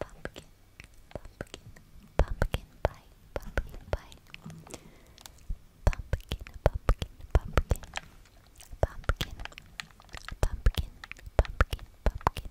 pumpkin, pumpkin, pumpkin pie, pumpkin pie, pumpkin, pumpkin, pumpkin, pumpkin, pumpkin, pumpkin, pumpkin. Pumpkin, pumpkin,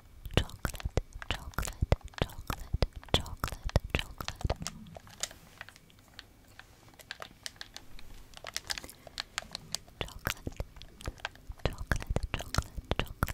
chocolate, chocolate, chocolate, chocolate, chocolate. Chocolate, chocolate, chocolate, chocolate, chocolate. Tiptoe, tiptoe, tiptoe, tiptoe.